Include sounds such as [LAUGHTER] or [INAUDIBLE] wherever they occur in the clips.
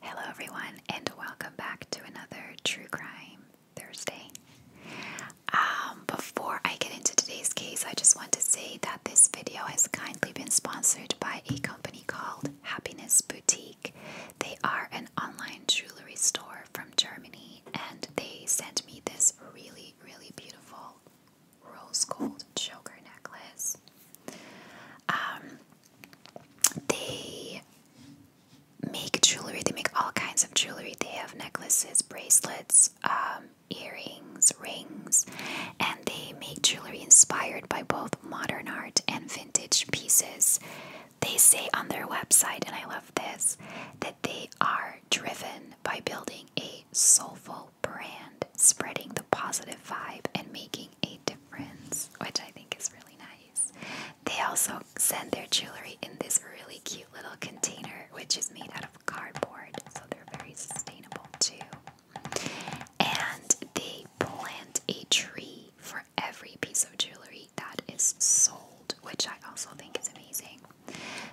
Hello, everyone, and welcome back to another True Crime Thursday. Um, before I get into today's case, I just want to say that this video has kindly been sponsored by a company called Happiness Boutique. They are an online jewelry store from Germany, and they sent me this really, really beautiful rose gold choker necklace. Um, they make jewelry, they make all kinds of jewelry. They have necklaces, bracelets, um, earrings, rings, and they make jewelry inspired by both modern art and vintage pieces. They say on their website, and I love this, that they are driven by building a soulful brand spreading the positive vibe and making a difference, which I think is really nice. They also send their jewelry in this really cute little container, which is made out of cardboard, so they're very sustainable too. And they plant a tree for every piece of jewelry that is sold, which I also think is amazing.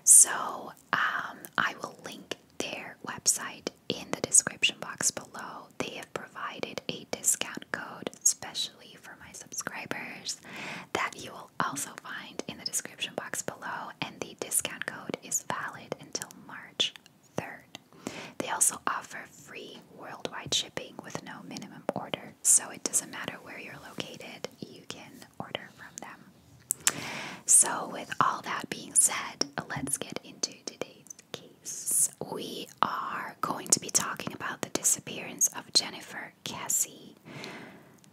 So um, I will link their website in the description box below. They have provided a discount code, especially for my subscribers, that you will also find in the description box below. And the discount code is valid until March 3rd. They also offer free worldwide shipping with no minimum order, so it doesn't matter where you're located, you can order from them. So, with all that being said, let's get into today's case. We are going to be talking about the disappearance of Jennifer Cassie.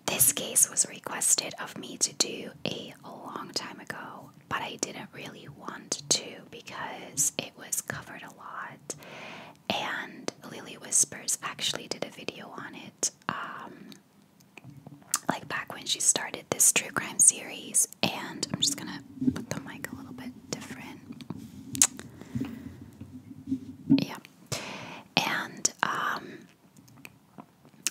This case was requested of me to do a long time ago, but I didn't really want to because it was covered a lot. And Lily Whispers actually did a video on it um, like back when she started this true crime series, and I'm just gonna put the mic a little bit different. Yeah. And um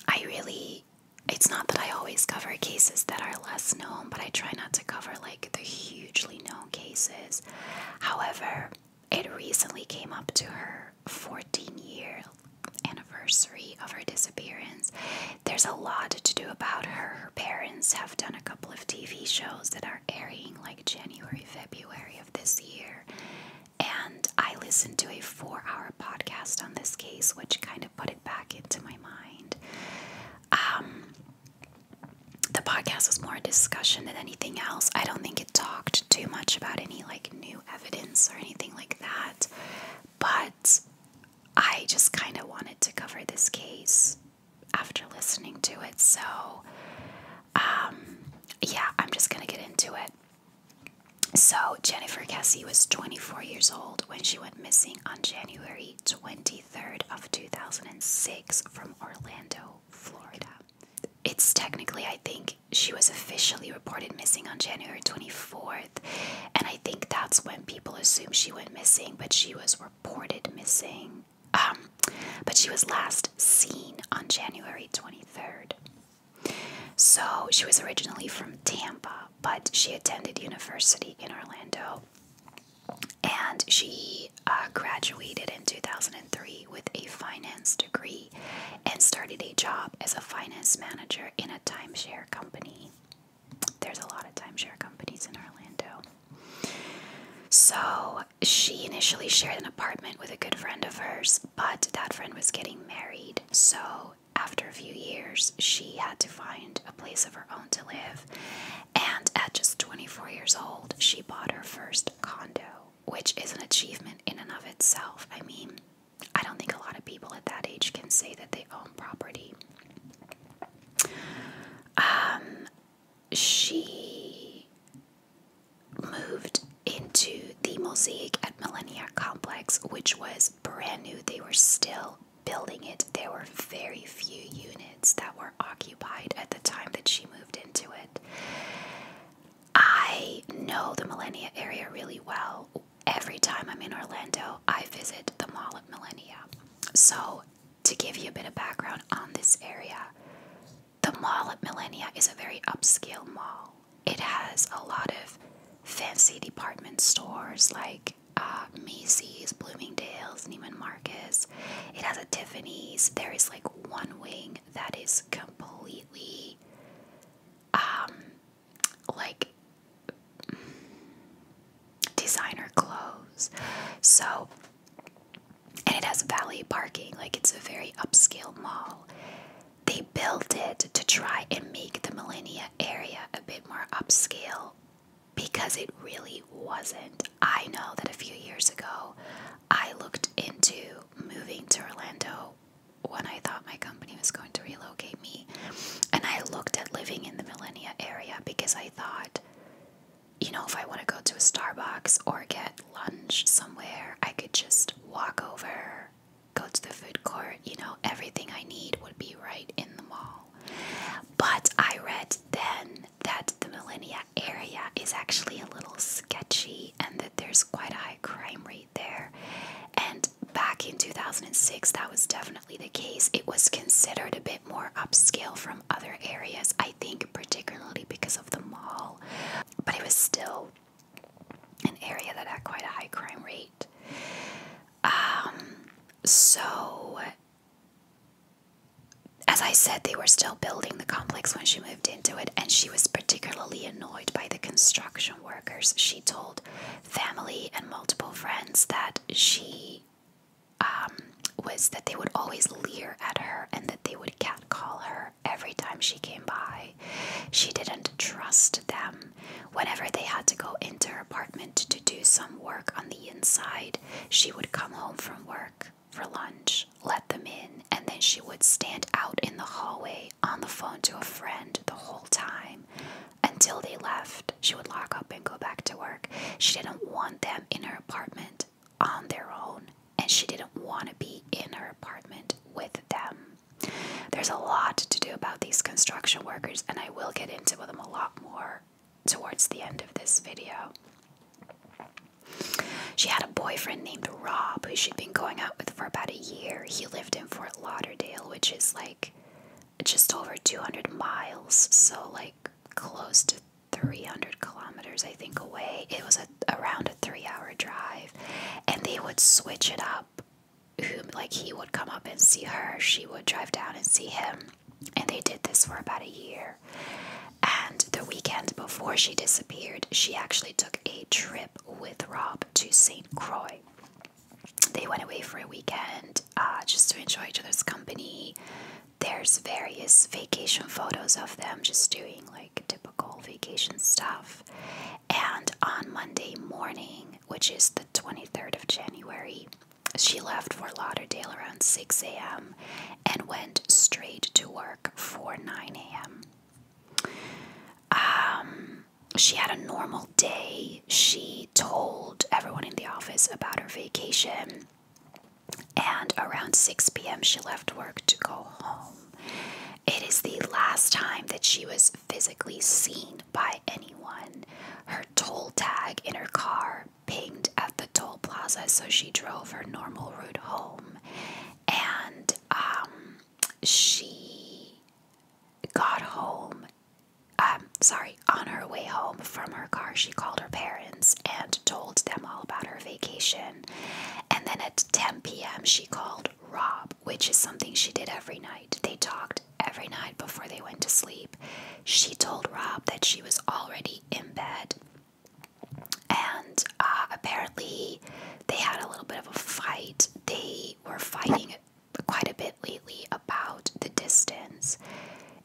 I really it's not that I always cover cases that are less known, but I try not to cover like the hugely known cases. However, it recently came up to her 14 year anniversary of her disappearance. There's a lot to do about her. Her parents have done a couple of TV shows that are airing like January, February of this year. And I listened to a four hour podcast on this case, which kind of put it back into my mind. Um, the podcast was more a discussion than anything else. I don't think it talked too much about any like new evidence or anything like that, but I just kind of wanted to cover this case after listening to it. So, um, yeah, I'm just going to get into it. So, Jennifer Cassie was 24 years old when she went missing on January 23rd of 2006 from Orlando, Florida. It's technically, I think, she was officially reported missing on January 24th, and I think that's when people assumed she went missing, but she was reported missing. Um, but she was last seen on January 23rd. So she was originally from Tampa, but she attended university in Orlando and she uh, graduated in 2003 with a finance degree and started a job as a finance manager in a timeshare company. There's a lot of timeshare companies in Orlando. So she initially shared an apartment with a good friend of hers, but that friend was getting married. So after a few years, she had to find a place of her own to live. And at just 24 years old, she bought her first condo, which is an achievement in and of itself. I mean, I don't think a lot of people at that age can say that they own property. Um, she moved into the Mosaic at Millennia Complex, which was brand new. They were still building it. There were very few units that were occupied at the time that she moved into it. I know the Millennia area really well every time I'm in Orlando, I visit the Mall of Millennia. So, to give you a bit of background on this area, the Mall of Millennia is a very upscale mall. It has a lot of fancy department stores like uh, Macy's, Bloomingdale's, Neiman Marcus. It has a Tiffany's. There is like one wing that is completely um, like designer clothes. So, and it has valet parking, like it's a very upscale mall. They built it to try and make the millennia area a bit more upscale because it really wasn't. I know that a few years ago I looked into moving to Orlando when I thought my company was going to relocate me. And I looked at living in the Millennia area because I thought, you know, if I want to go to a Starbucks or get lunch somewhere, I could just walk over, go to the food court, you know, everything I need would be right in the mall. But I read then that the Millennia area is actually a little sketchy and that there's quite a high crime rate there. And back in 2006, that was definitely the case. It was considered a bit more upscale from other areas, I think, particularly because of the mall. But it was still an area that had quite a high crime rate. Um, so, as I said, they were still building the complex when she moved into it, and she was particularly annoyed by the construction workers. She told family and multiple friends that she um, was that they would always leer at her and that they would catcall her every time she came by. She didn't trust them. Whenever they had to go into her apartment to do some work on the inside, she would come home from work for lunch, let them in, and then she would stand out in the hallway on the phone to a friend the whole time until they left. She would lock up and go back to work. She didn't want them in her apartment on their own, and she didn't want to be in her apartment with them. There's a lot to do about these construction workers, and I will get into with them a lot more towards the end of this video. She had a boyfriend named Rob, who she'd been going out with for about a year. He lived in Fort Lauderdale, which is like just over 200 miles, so like close to 300 kilometers, I think, away. It was around a three hour drive, and they would switch it up. like, he would come up and see her, she would drive down and see him. And they did this for about a year. And the weekend before she disappeared, she actually took a trip with Rob to St. Croix they went away for a weekend uh, just to enjoy each other's company. There's various vacation photos of them just doing like typical vacation stuff. And on Monday morning, which is the 23rd of January, she left for Lauderdale around 6 a.m. and went straight to work for 9 a.m. Um, she had a normal day. She told everyone in the office about her vacation. And around 6 p.m., she left work to go home. It is the last time that she was physically seen by anyone. Her toll tag in her car pinged at the toll plaza, so she drove her normal route home. And um, she got home. Um, sorry, on her way home from her car, she called her parents and told them all about her vacation. And then at 10 p.m., she called Rob, which is something she did every night. They talked every night before they went to sleep. She told Rob that she was already in bed. And uh, apparently, they had a little bit of a fight they were fighting quite a bit lately about the distance.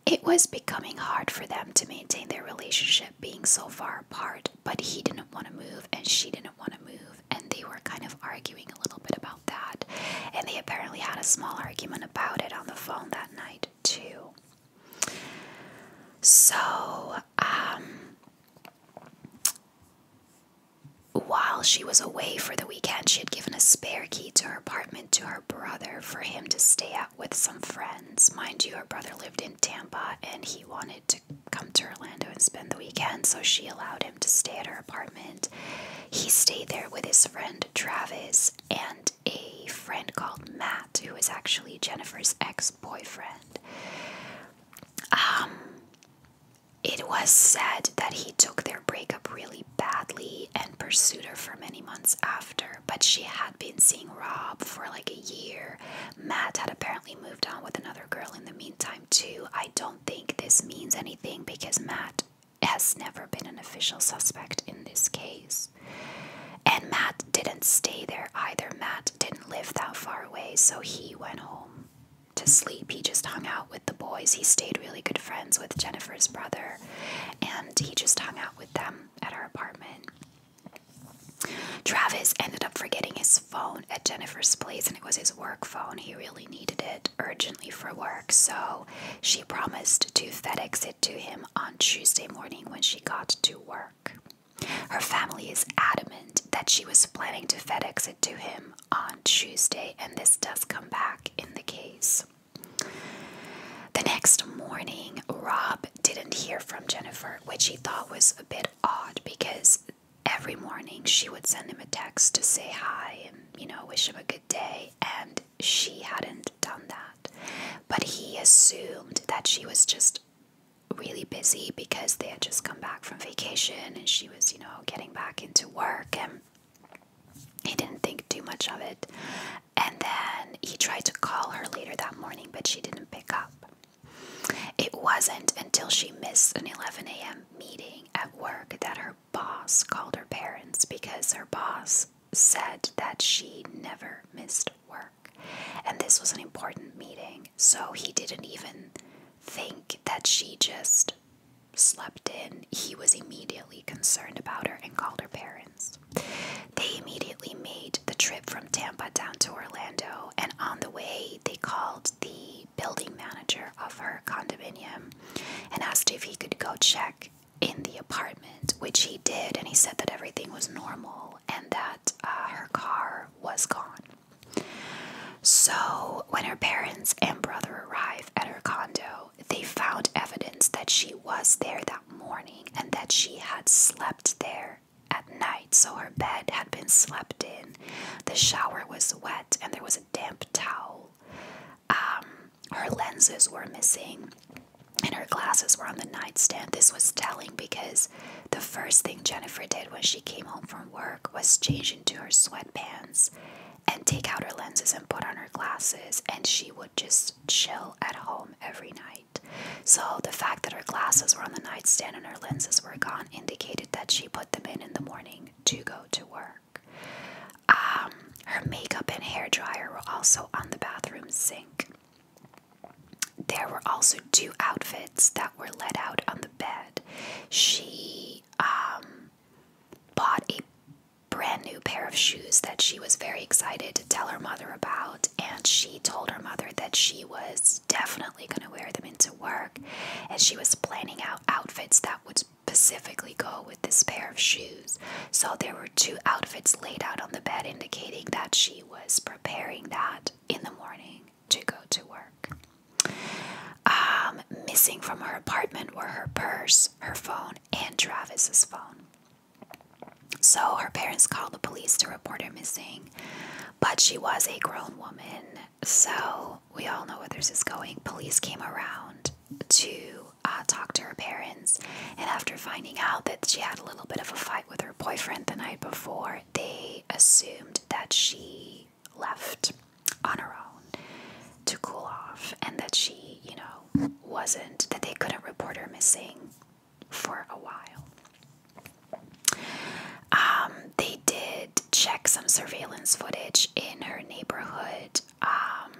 It was becoming hard for them to maintain their relationship being so far apart, but he didn't want to move and she didn't want to move, and they were kind of arguing a little bit about that. And they apparently had a small argument about it on the phone that night, too. So, um, while she was away for the weekend, she had given a spare key to her apartment to her brother for him to stay at with some friends. Mind you, her brother lived in Tampa and he wanted to come to Orlando and spend the weekend, so she allowed him to stay at her apartment. He stayed there with his friend Travis and a friend called Matt, who is actually Jennifer's ex boyfriend. Um, it was said that he took their breakup really badly and pursued her for many months after, but she had been seeing Rob for like a year. Matt had apparently moved on with another girl in the meantime, too. I don't think this means anything because Matt has never been an official suspect in this case. And Matt didn't stay there either. Matt didn't live that far away, so he went home to sleep. He just hung out with the boys. He stayed really good friends with Jennifer's brother, and he just hung out with them at our apartment. Travis ended up forgetting his phone at Jennifer's place, and it was his work phone. He really needed it urgently for work, so she promised to FedEx it to him on Tuesday morning when she got to work. Her family is adamant that she was planning to FedEx it to him on Tuesday, and this does come back in the case. The next morning, Rob didn't hear from Jennifer, which he thought was a bit odd because every morning she would send him a text to say hi and, you know, wish him a good day, and she hadn't done that. But he assumed that she was just really busy because they had just come back from vacation and she was, you know, getting back into work and he didn't think too much of it. And then he tried to call her later that morning, but she didn't pick up. It wasn't until she missed an 11 a.m. meeting at work that her boss called her parents because her boss said that she never missed work. And this was an important meeting, so he didn't even think that she just slept in, he was immediately concerned about her and called her parents. They immediately made the trip from Tampa down to Orlando, and on the way, they called the building manager of her condominium and asked if he could go check in the apartment, which he did, and he said that everything was normal and that uh, her car was gone. So, when her parents and brother arrive at her condo, they found evidence that she was there that morning and that she had slept there at night. So, her bed had been slept in, the shower was wet, and there was a damp towel. Um, her lenses were missing and her glasses were on the nightstand. This was telling because the first thing Jennifer did when she came home from work was change into her sweatpants and take out her lenses and put on her glasses, and she would just chill at home every night. So, the fact that her glasses were on the nightstand and her lenses were gone indicated that she put them in in the morning to go to work. Um, her makeup and hair dryer were also on the bathroom sink. There were also two outfits that were let out on the bed she um, bought a brand new pair of shoes that she was very excited to tell her mother about, and she told her mother that she was definitely going to wear them into work, and she was planning out outfits that would specifically go with this pair of shoes. So there were two outfits laid out on the bed, indicating that she was preparing that in the morning to go to work. Um, missing from her apartment were her purse, her phone, and Travis's phone. So her parents called the police to report her missing, but she was a grown woman, so we all know where this is going. Police came around to uh, talk to her parents, and after finding out that she had a little bit of a fight with her boyfriend the night before, they assumed that she left on her own to cool off and that she, you know, wasn't, that they couldn't report her missing for a while. Um, they did check some surveillance footage in her neighborhood, um,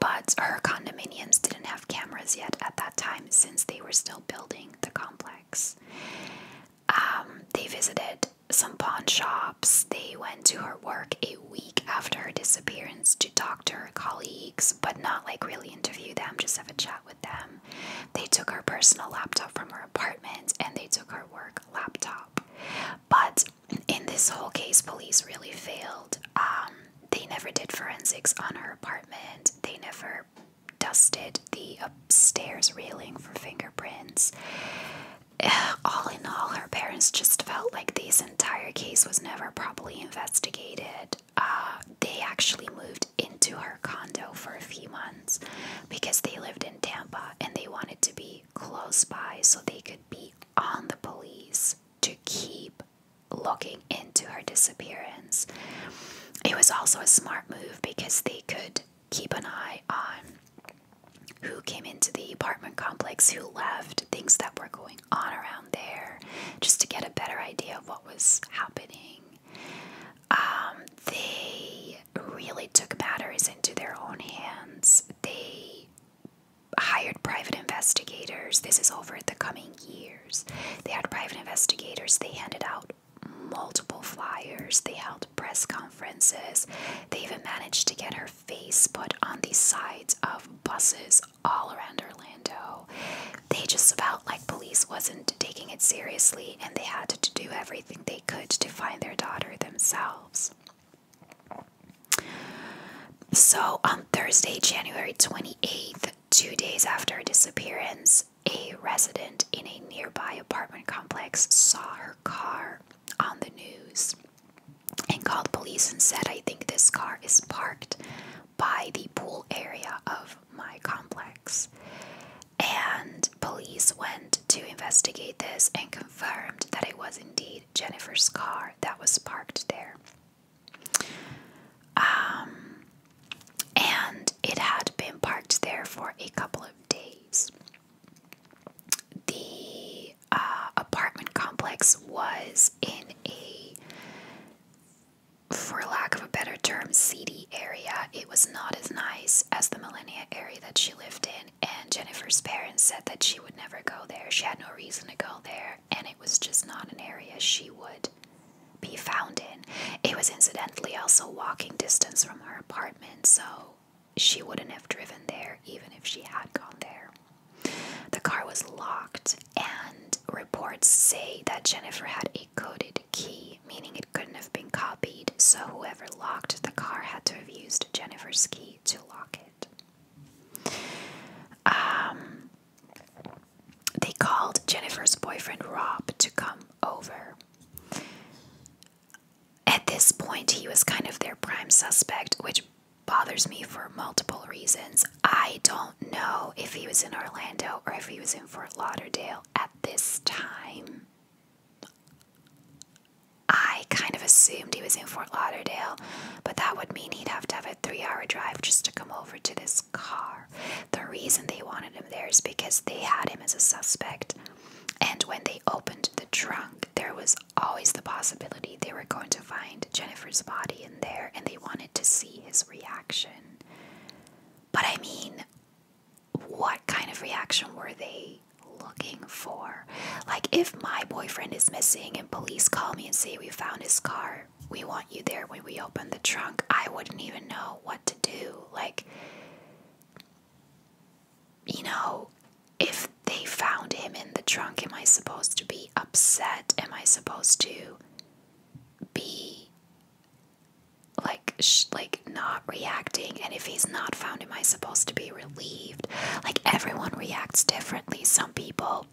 but her condominiums didn't have cameras yet at that time since they were still building the complex. Um, they visited some pawn shops. They went to her work a week after her disappearance to talk to her colleagues, but not like really interview them, just have a chat with them. They took her personal laptop from her apartment and they took her work laptop. But in this whole case, police really failed. Um, they never did forensics on her apartment, they never dusted the upstairs railing for fingerprints. All in all, her parents just felt like this entire case was never properly investigated. Uh, they actually moved into her condo for a few months because they lived in Tampa and they wanted to be close by so they could be on the police to keep looking into her disappearance. It was also a smart move because they could keep an eye on who came into the apartment complex, who left, things that were going on around there, just to get a better idea of what was happening. Um, they really took matters into their own hands. They hired private investigators. This is over the coming years. They had private investigators. They handed out multiple flyers, they held press conferences, they even managed to get her face put on the sides of buses all around Orlando. They just felt like police wasn't taking it seriously and they had to do everything they could to find their daughter themselves. So on Thursday, January 28th, two days after her disappearance, a resident in a nearby apartment complex saw her car on the news and called police and said, I think this car is parked by the pool area of my complex. And police went to investigate this and confirmed that it was indeed Jennifer's car that was parked there. Um, and it had been parked there for a couple days. The uh, apartment complex was in a, for lack of a better term, seedy area. It was not as nice as the millennia area that she lived in, and Jennifer's parents said that she would never go there. She had no reason to go there, and it was just not an area she would be found in. It was incidentally also walking distance from her apartment so she wouldn't have driven there even if she had gone there. The car was locked, and reports say that Jennifer had a coded key, meaning it couldn't have been copied, so whoever locked the car had to have used Jennifer's key to lock it. Um, they called Jennifer's boyfriend Rob to come over at this point, he was kind of their prime suspect, which bothers me for multiple reasons. I don't know if he was in Orlando or if he was in Fort Lauderdale at this time. I kind of assumed he was in Fort Lauderdale, but that would mean he'd have to have a three hour drive just to come over to this car. The reason they wanted him there is because they had him as a suspect and when they opened the trunk, there was always the possibility they were going to find Jennifer's body in there and they wanted to see his reaction. But I mean, what kind of reaction were they looking for? Like, if my boyfriend is missing and police call me and say, We found his car, we want you there when we open the trunk, I wouldn't even know what to do. Like, you know, if they found him in the trunk, am I supposed to be upset? Am I supposed to be like like not reacting? And if he's not found, am I supposed to be relieved? Like everyone reacts differently. Some people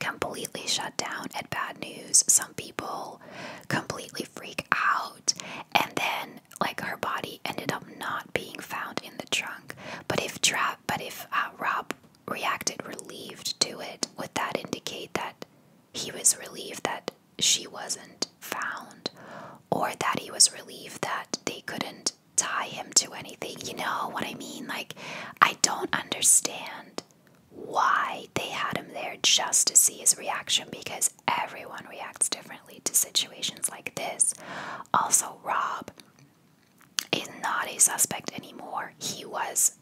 completely shut down at bad news. Some people completely freak out and then like her body ended up not being found in the trunk but if trap but if uh, rob reacted relieved to it would that indicate that he was relieved that she wasn't found or that he was relieved that they couldn't tie him to anything you know what i mean like i don't understand why they had him there just to see his reaction because everyone reacts differently to situations like this. Also, Rob is not a suspect anymore. He was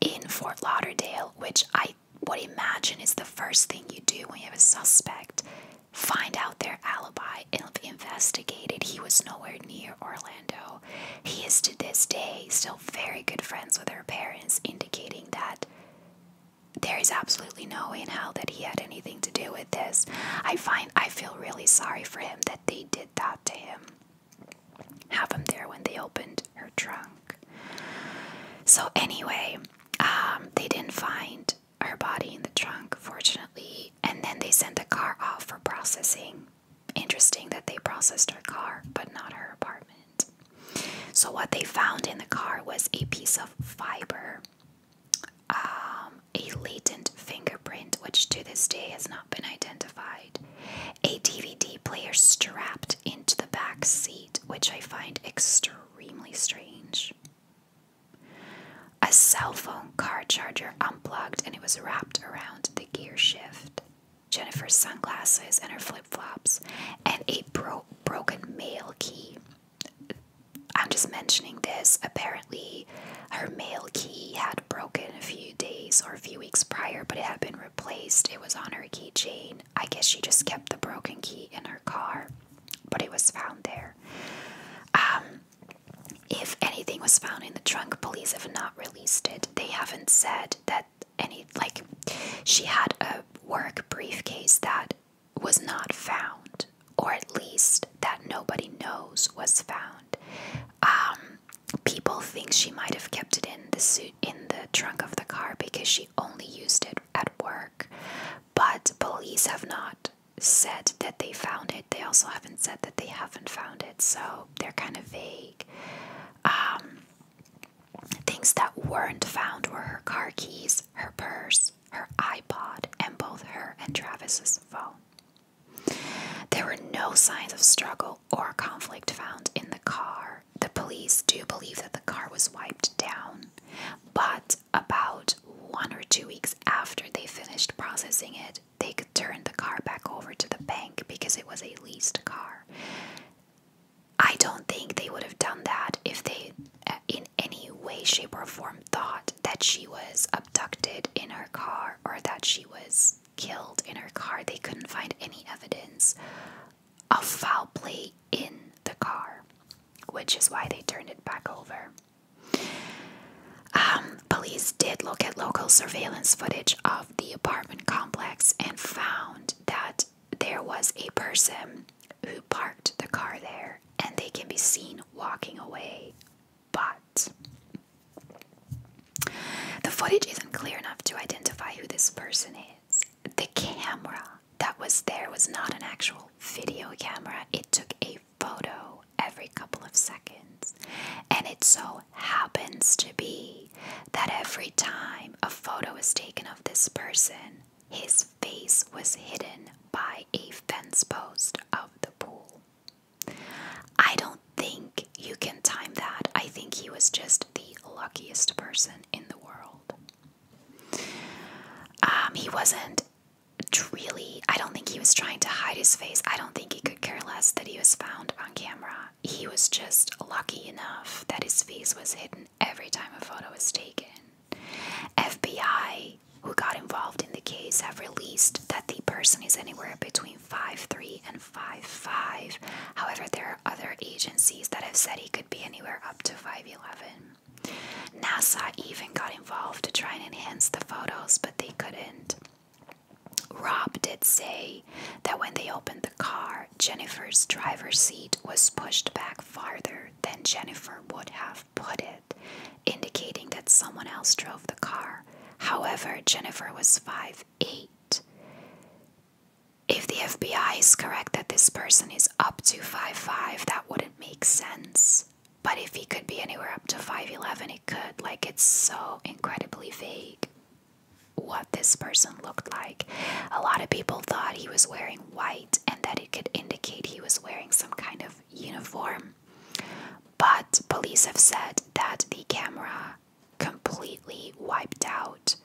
in Fort Lauderdale, which I would imagine is the first thing you do when you have a suspect. Find out their alibi and investigate He was nowhere near Orlando. He is to this day still very good friends with her parents, indicating that there is absolutely no way in hell that he had anything to do with this. I find I feel really sorry for him that they did that to him. Have him there when they opened her trunk. So anyway, um, they didn't find her body in the trunk, fortunately, and then they sent the car off for processing. Interesting that they processed her car, but not her apartment. So, what they found in the car was a piece of fiber, um, a latent fingerprint, which to this day has not been identified, a DVD player strapped into the back seat, which I find extremely strange, a cell phone car charger unplugged and it was wrapped around the gear shift. Jennifer's sunglasses and her flip flops, and a broke broken mail key I'm just mentioning this. Apparently, her mail key had broken a few days or a few weeks prior, but it had been replaced. It was on her keychain. I guess she just kept the broken key in her car, but it was found there. Um, if anything was found in the trunk, police have not released it. They haven't said that any, like, she had a work briefcase that was not found, or at least that nobody knows was found. Um, people think she might have kept it in the suit in the trunk of the car because she only used it at work, but police have not said that they found it. They also haven't said that they haven't found it, so they're kind of vague. Um, Things that weren't found were her car keys, her purse, her iPod, and both her and Travis's phone. There were no signs of struggle or conflict found in the car. The police do believe that the car was wiped down, but about one or two weeks after they finished processing it, they could turn the car back over to the bank because it was a leased car. I don't think they would have done that if they, uh, in any way, shape, or form, thought that she was abducted in her car or that she was killed in her car. They couldn't find any evidence of foul play in the car, which is why they turned it back over. Um, police did look at local surveillance footage of the apartment complex and found that there was a person who parked the car there, and they can be seen walking away. But the footage isn't clear enough to identify who this person is. The camera that was there was not an actual video camera, it took a photo every couple of seconds. And it so happens to be that every time a photo is taken of this person, his face was hidden by a fence post of the pool. I don't think you can time that. I think he was just the luckiest person in the world. Um, he wasn't really, I don't think he was trying to hide his face. I don't think he could care less that he was found on camera. He was just lucky enough that his face was hidden every time a photo is taken. FBI, who got involved in the case, have released that the person is anywhere between five three and five five. However, there are other agencies that have said he could be anywhere up to 5'11. NASA even got involved to try and enhance the photos, but they couldn't. Rob did say that when they opened the car, Jennifer's driver's seat was pushed back farther later than Jennifer would have put it, indicating that someone else drove the car. However, Jennifer was five eight. If the FBI is correct that this person is up to five five, that wouldn't make sense. But if he could be anywhere up to 5'11, it could. Like, it's so incredibly vague what this person looked like. A lot of people thought he was wearing white and that it could indicate he was wearing some kind of uniform. But police have said that the camera completely wiped out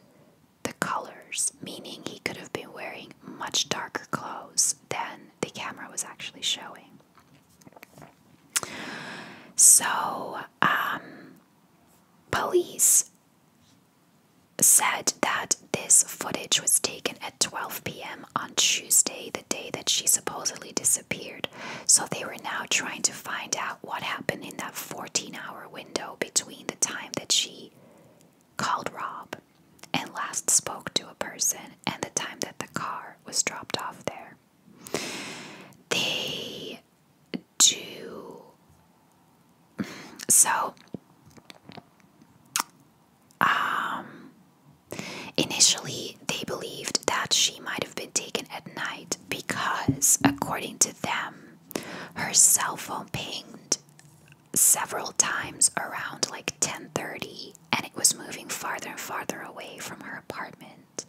the colors, meaning he could have been wearing much darker clothes than the camera was actually showing. So, um, police said that this footage was taken at 12 p.m. on Tuesday, the day that she supposedly disappeared. So they were now trying to find out what happened in that 14 hour window between the time that she called Rob and last spoke to a person and the time that the car was dropped off there. They do so um, initially they believed that she might have been taken at night because according to them her cell phone pinged several times around like 10:30 and it was moving farther and farther away from her apartment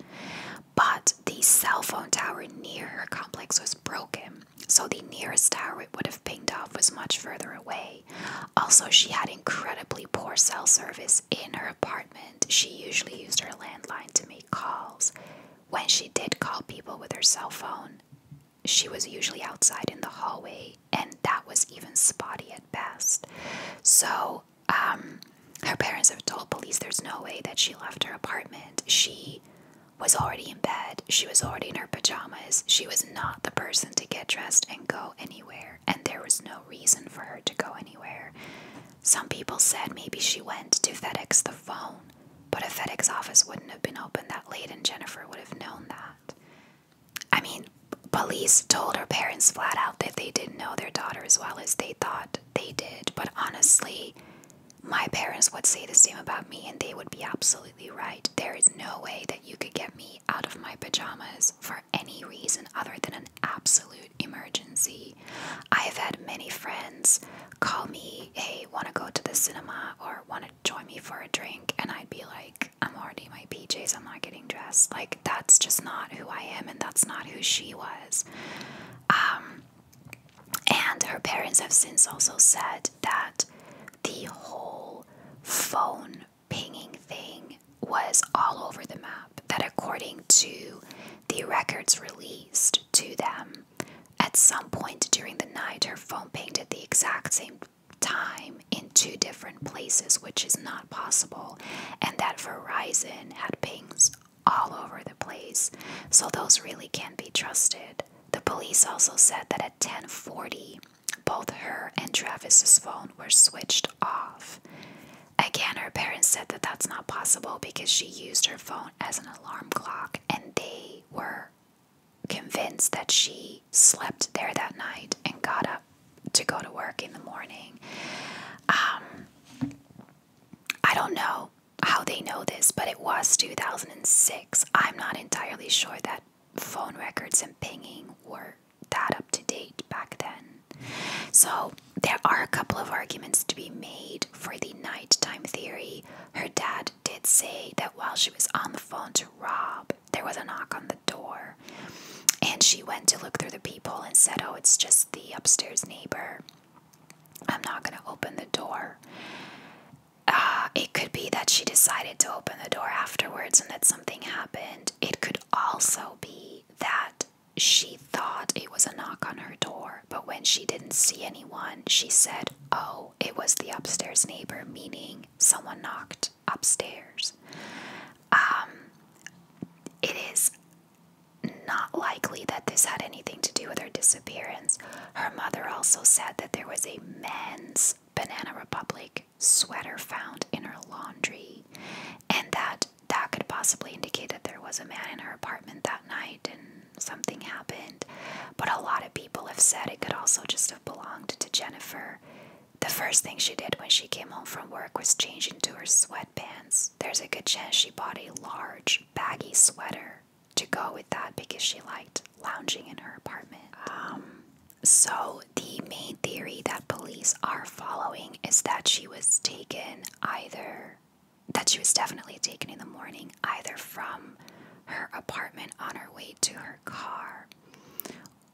but the cell phone tower near her complex was broken so the nearest tower it would have pinged off was much further away. Also, she had incredibly poor cell service in her apartment. She usually used her landline to make calls. When she did call people with her cell phone, she was usually outside in the hallway, and that was even spotty at best. So, um, her parents have told police there's no way that she left her apartment. She was already in bed. She was already in her pajamas. She was not the person to get dressed and go anywhere, and there was no reason for her to go anywhere. Some people said maybe she went to FedEx the phone, but a FedEx office wouldn't have been open that late, and Jennifer would have known that. I mean, police told her parents flat out that they didn't know their daughter as well as they thought they did, but honestly, my parents would say the same about me, and they would be absolutely right. There is no way that you could get me out of my pajamas for any reason other than an absolute emergency. I have had many friends call me, hey, want to go to the cinema or want to join me for a drink, and I'd be like, I'm already in my PJs, I'm not getting dressed. Like, that's just not who I am, and that's not who she was. Um, and her parents have since also said that the whole phone pinging thing was all over the map. That, according to the records released to them, at some point during the night, her phone pinged at the exact same time in two different places, which is not possible, and that Verizon had pings all over the place. So, those really can't be trusted. The police also said that at 10:40, both her and Travis's phone were switched off. Again, her parents said that that's not possible because she used her phone as an alarm clock and they were convinced that she slept there that night and got up to go to work in the morning. Um, I don't know how they know this, but it was 2006. I'm not entirely sure that phone records and pinging were that up to date back then. So there are a couple of arguments to be made for the nighttime theory. Her dad did say that while she was on the phone to Rob, there was a knock on the door. And she went to look through the peephole and said, Oh, it's just the upstairs neighbor. I'm not going to open the door. Uh, it could be that she decided to open the door afterwards and that something happened. It could also be that she thought it was a knock on her door, but when she didn't see anyone, she said, Oh, it was the upstairs neighbor, meaning someone knocked upstairs. Um, it is not likely that this had anything to do with her disappearance. Her mother also said that there was a man's. Banana Republic sweater found in her laundry, and that that could possibly indicate that there was a man in her apartment that night and something happened. But a lot of people have said it could also just have belonged to Jennifer. The first thing she did when she came home from work was change into her sweatpants. There's a good chance she bought a large, baggy sweater to go with that because she liked lounging in her apartment. Um, so, the main theory that police are following is that she was taken either, that she was definitely taken in the morning, either from her apartment on her way to her car,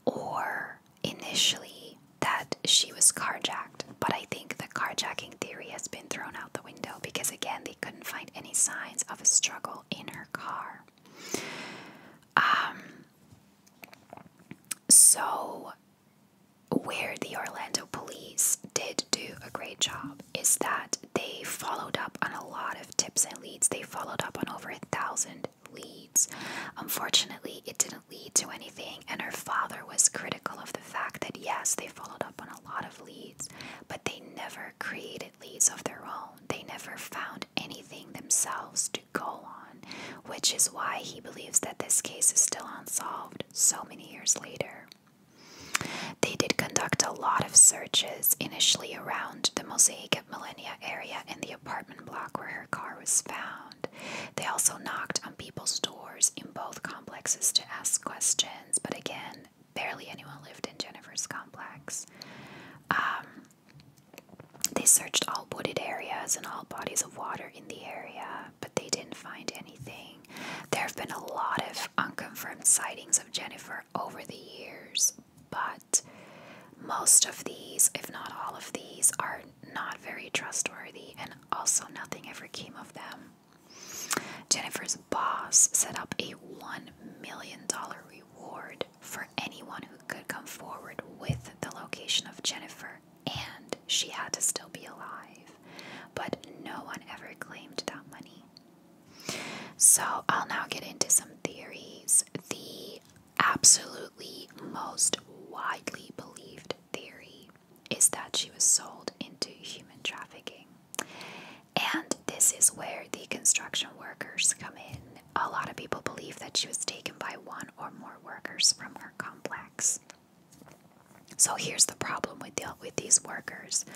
or initially that she was carjacked. But I think the carjacking theory has been thrown out the window because, again, they couldn't find any signs of a struggle in her car. Um, so, where the Orlando police did do a great job is that they followed up on a lot of tips and leads. They followed up on over a thousand leads. Unfortunately, it didn't lead to anything, and her father was critical of the fact that yes, they followed up on a lot of leads, but they never created leads of their own. They never found anything themselves to go on, which is why he believes that this case is still unsolved so many years later. They did conduct a lot of searches, initially around the Mosaic at Millennia area and the apartment block where her car was found. They also knocked on people's doors in both complexes to ask questions, but again, barely anyone lived in Jennifer's complex. Um, they searched all wooded areas and all bodies of water in the area, but they didn't find anything. There have been a lot of unconfirmed sightings of Jennifer over the years, but most of these, if not all of these, are not very trustworthy, and also nothing ever came of them. Jennifer's boss set up a $1 million reward reward for anyone who could come forward with the location of Jennifer, and she had to still be alive. But no one ever claimed that money. So I'll now get into some theories. The absolutely most widely believed theory is that she was sold into human trafficking. And this is where the construction workers come in. A lot of people believe that she was taken by one or more workers from her complex. So here's the problem with the, with these workers.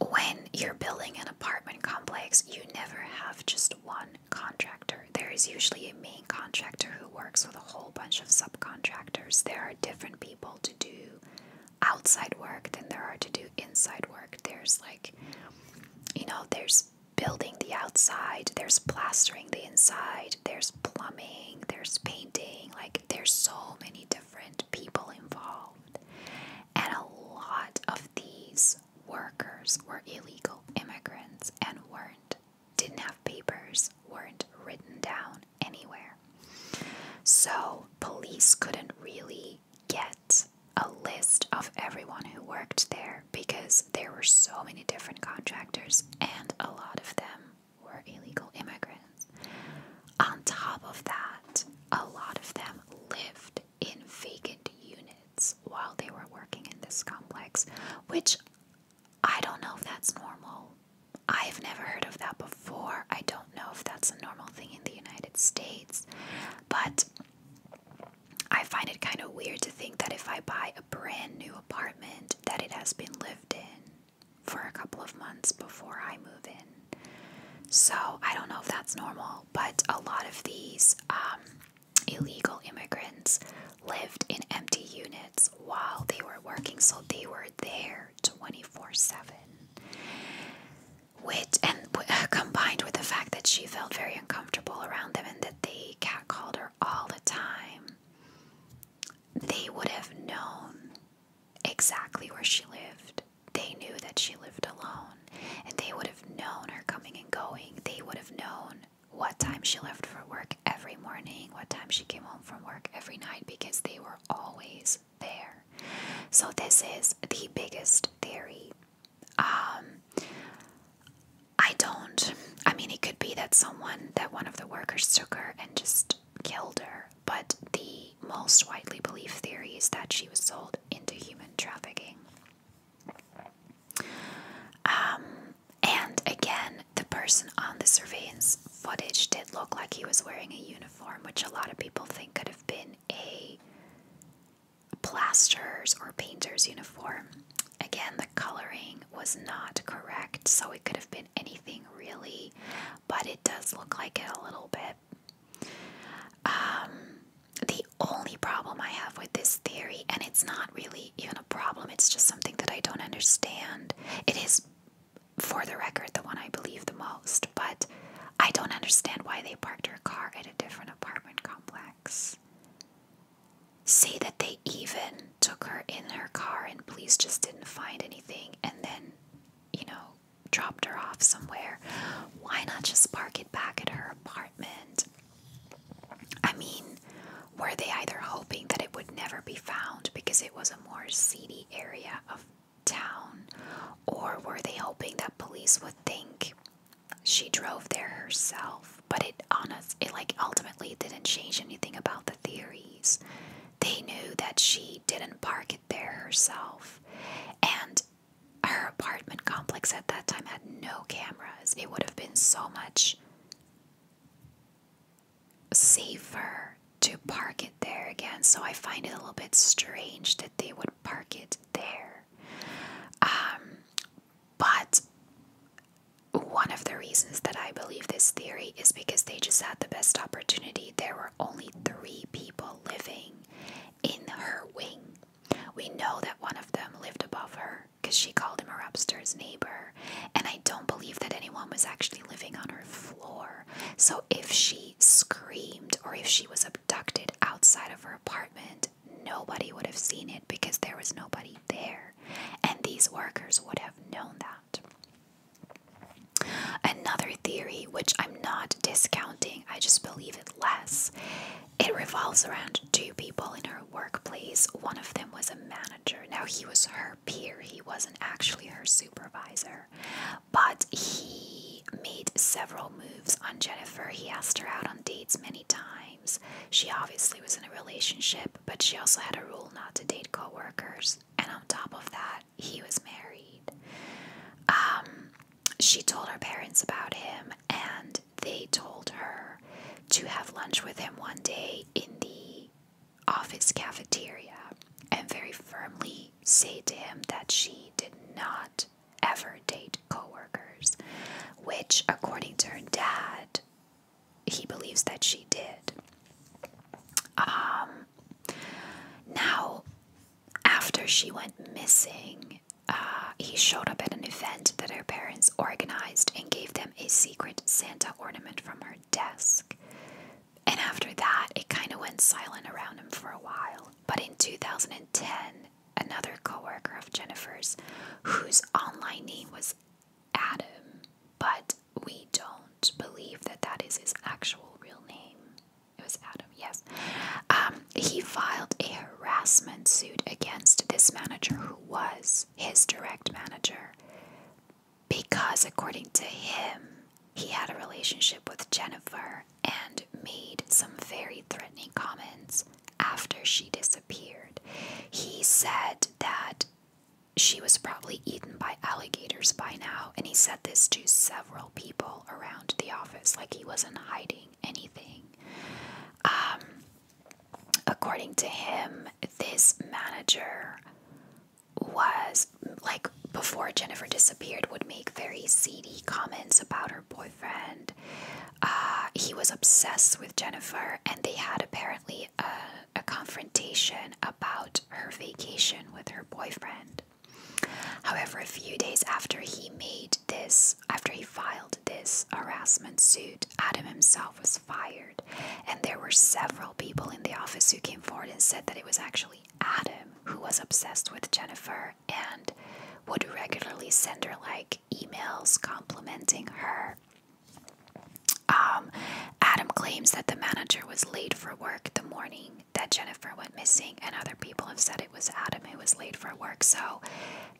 When you're building an apartment complex, you never have just one contractor. There is usually a main contractor who works with a whole bunch of subcontractors. There are different people to do outside work than there are to do inside work. There's like, you know, there's building the outside, there's plastering the inside, there's plumbing, there's painting. Like, there's so many different people involved. And a lot of these workers were illegal immigrants and weren't, didn't have papers, weren't written down anywhere. So, police couldn't really get a list of everyone who worked there because there were so many different contractors and a lot of them were illegal immigrants. On top of that, a lot of them lived in vacant units while they were working in this complex, which I don't know if that's normal. I've never heard of that before. I don't know if that's a normal thing in the United States. But I find it kind of weird to think that if I buy a brand new apartment that it has been lived in for a couple of months before I move in. So I don't know if that's normal, but a lot of these um, illegal immigrants lived in empty units while they were working, so they were there 24 7 which and uh, combined with the fact that she felt very uncomfortable around them and that they catcalled her all the time, they would have known exactly where she lived. They knew that she lived alone, and they would have known her coming and going. They would have known what time she left for work every morning, what time she came home from work every night, because they were always there. So, this is the biggest theory. Um, I don't, I mean, it could be that someone, that one of the workers took her and just killed her, but the most widely believed theory is that she was sold into human trafficking. Um, and again, the person on the surveillance footage did look like he was wearing a uniform, which a lot of people think could have been a plaster's or painter's uniform. Again, the coloring was not correct, so it could have been anything really, but it does look like it a little bit. Um, the only problem I have with this theory, and it's not really even a problem, it's just something that I don't understand. It is, for the record, the one I believe the most, but I don't understand why they parked her car at a different apartment complex. Say that they even took her in her car and police just didn't find anything and then, you know, dropped her off somewhere. Why not just park it back at her apartment? I mean, were they either hoping that it would never be found because it was a more seedy area of town, or were they hoping that police would think she drove there herself? But it honest, it like ultimately didn't change anything about the theories. They knew that she didn't park it there herself, and her apartment complex at that time had no cameras. It would have been so much safer to park it there again. So I find it a little bit strange that they would park it there. Um, but one of the reasons that I believe this theory is because they just had the best opportunity. There were only three people living in her wing. We know that one of them lived above her because she called him her upstairs neighbor. And I don't believe that anyone was actually living on her floor. So if she screamed or if she was abducted outside of her apartment, nobody would have seen it because there was nobody there. And these workers would have known that. Another theory, which I'm not discounting, I just believe it less, it revolves around two people in her workplace. One of them was a manager. Now, he was her peer, he wasn't actually her supervisor but he made several moves on Jennifer. He asked her out on dates many times. She obviously was in a relationship, but she also had a rule not to date coworkers. And on top of that, he was married. Um, she told her parents about him, and they told her to have lunch with him one day in the office cafeteria and very firmly say to him that she did not ever date coworkers, which, according to her dad, he believes that she did. Um, now, after she went missing, uh, he showed up at an event that her parents organized and gave them a secret Santa ornament from her desk. And after that, it kind of went silent around him for a while. But in 2010, another coworker of Jennifer's, whose online name was Adam, but we don't believe that that is his actual real name. It was Adam, yes. Um, he filed a harassment suit against this manager, who was his direct manager, because according to him, he had a relationship with Jennifer and made some very threatening comments after she disappeared. He said that she was probably eaten by alligators by now, and he said this to several people around the office, like he wasn't hiding anything. Um, according to him, this manager was like before Jennifer disappeared, would make very seedy comments about her boyfriend. Uh, he was obsessed with Jennifer, and they had apparently a confrontation about her vacation with her boyfriend. However, a few days after he made this, after he filed this harassment suit, Adam himself was fired. And there were several people in the office who came forward and said that it was actually Adam who was obsessed with Jennifer and would regularly send her like emails complimenting her. Um, Adam claims that the manager was late for work the morning that Jennifer went missing, and other people have said it was Adam who was late for work. So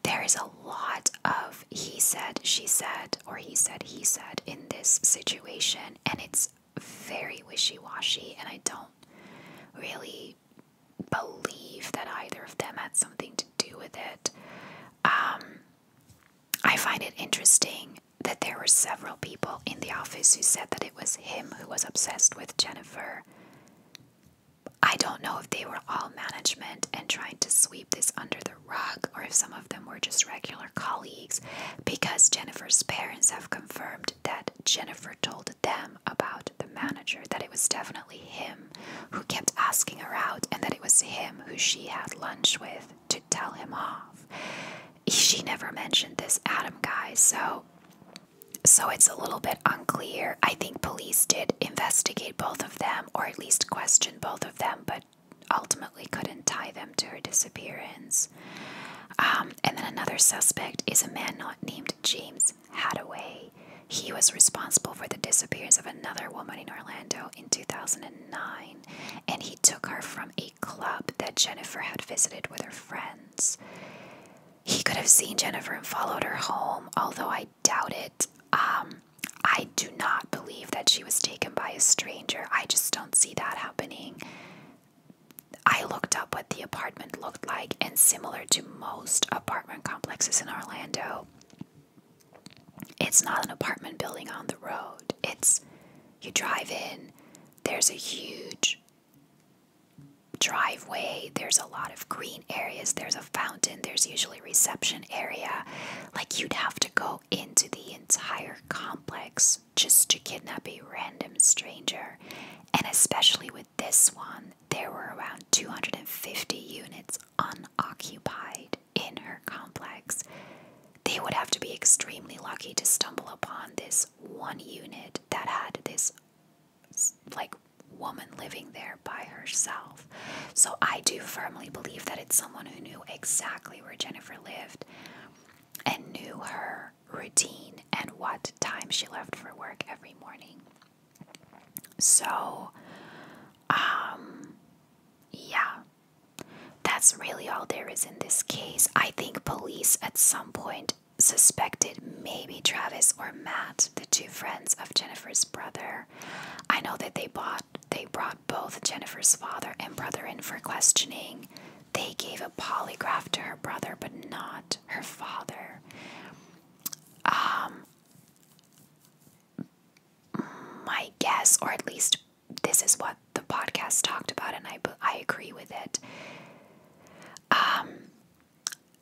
there is a lot of he said, she said, or he said, he said in this situation, and it's very wishy washy, and I don't really believe that either of them had something to do with it. Um, I find it interesting that there were several people in the office who said that it was him who was obsessed with Jennifer. I don't know if they were all management and trying to sweep this under the rug or if some of them were just regular colleagues because Jennifer's parents have confirmed that Jennifer told them about the manager that it was definitely him who kept asking her out and that it was him who she had lunch with to tell him off. She never mentioned this Adam guy, so so it's a little bit unclear. I think police did investigate both of them or at least question both of them, but ultimately couldn't tie them to her disappearance. Um, and then another suspect is a man not named James Hadaway. He was responsible for the disappearance of another woman in Orlando in 2009, and he took her from a club that Jennifer had visited with her friends. He could have seen Jennifer and followed her home, although I doubt it. Um, I do not believe that she was taken by a stranger. I just don't see that happening. I looked up what the apartment looked like, and similar to most apartment complexes in Orlando, it's not an apartment building on the road. It's you drive in, there's a huge driveway, there's a lot of green areas, there's a fountain, there's usually reception area. Like you'd have to go into the entire complex just to kidnap a random stranger. And especially with this one, there were around 250 units unoccupied in her complex. They would have to be extremely lucky to stumble upon this one unit that had this, like, woman living there by herself. So I do firmly believe that it's someone who knew exactly where Jennifer lived and knew her routine and what time she left for work every morning. So, um, yeah, that's really all there is in this case. I think police at some point suspected maybe Travis or Matt, the two friends of Jennifer's brother. I know that they bought they brought both Jennifer's father and brother in for questioning. They gave a polygraph to her brother, but not her father. Um, my guess, or at least this is what the podcast talked about, and I I agree with it. Um,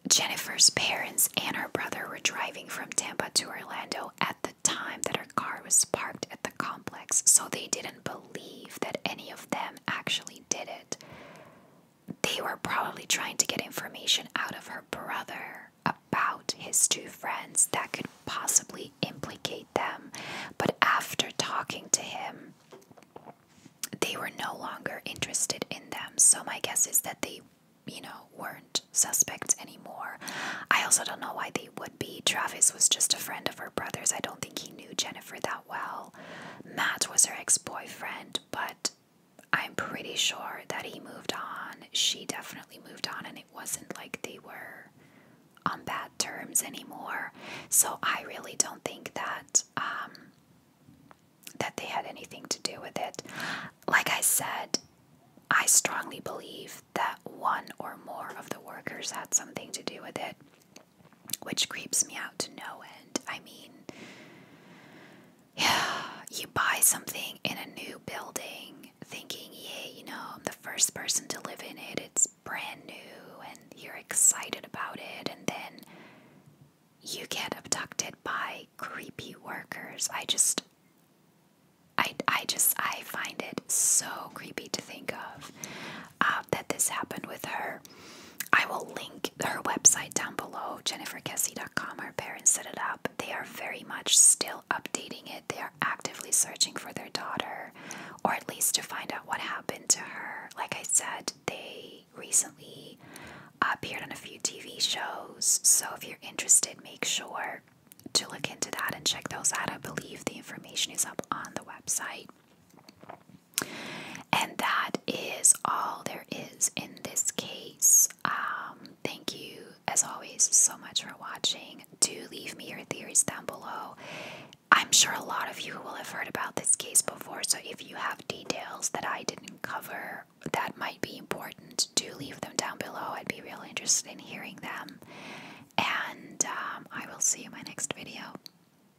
Jennifer's parents and her brother were driving from Tampa to Orlando at the time that her car was parked at the complex, so they didn't believe that any of them actually did it they were probably trying to get information out of her brother about his two friends that could possibly implicate them. But after talking to him, they were no longer interested in them. So my guess is that they, you know, weren't suspects anymore. I also don't know why they would be. Travis was just a friend of her brother's. I don't think he knew Jennifer that well. Matt was her ex boyfriend, but I'm pretty sure that he moved on. She definitely moved on, and it wasn't like they were on bad terms anymore. So I really don't think that um, that they had anything to do with it. Like I said, I strongly believe that one or more of the workers had something to do with it which creeps me out to no end. I mean, yeah, [SIGHS] you buy something in a new building thinking, yeah, you know, I'm the first person to live in it, it's brand new, and you're excited about it, and then you get abducted by creepy workers. I just. I, I just I find it so creepy to think of. Um, that this happened with her. I will link her website down below, jenniferkessie.com. Her parents set it up. They are very much still updating it. They are actively searching for their daughter, or at least to find out what happened to her. Like I said, they recently appeared on a few TV shows. So if you're interested, make sure to look into that and check those out. I believe the information is up on the website. And that is all there is in this case. Um, thank you, as always, so much for watching. Do leave me your theories down below. I'm sure a lot of you will have heard about this case before, so if you have details that I didn't cover that might be important, do leave them down below. I'd be really interested in hearing them. And um, I will see you in my next video.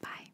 Bye.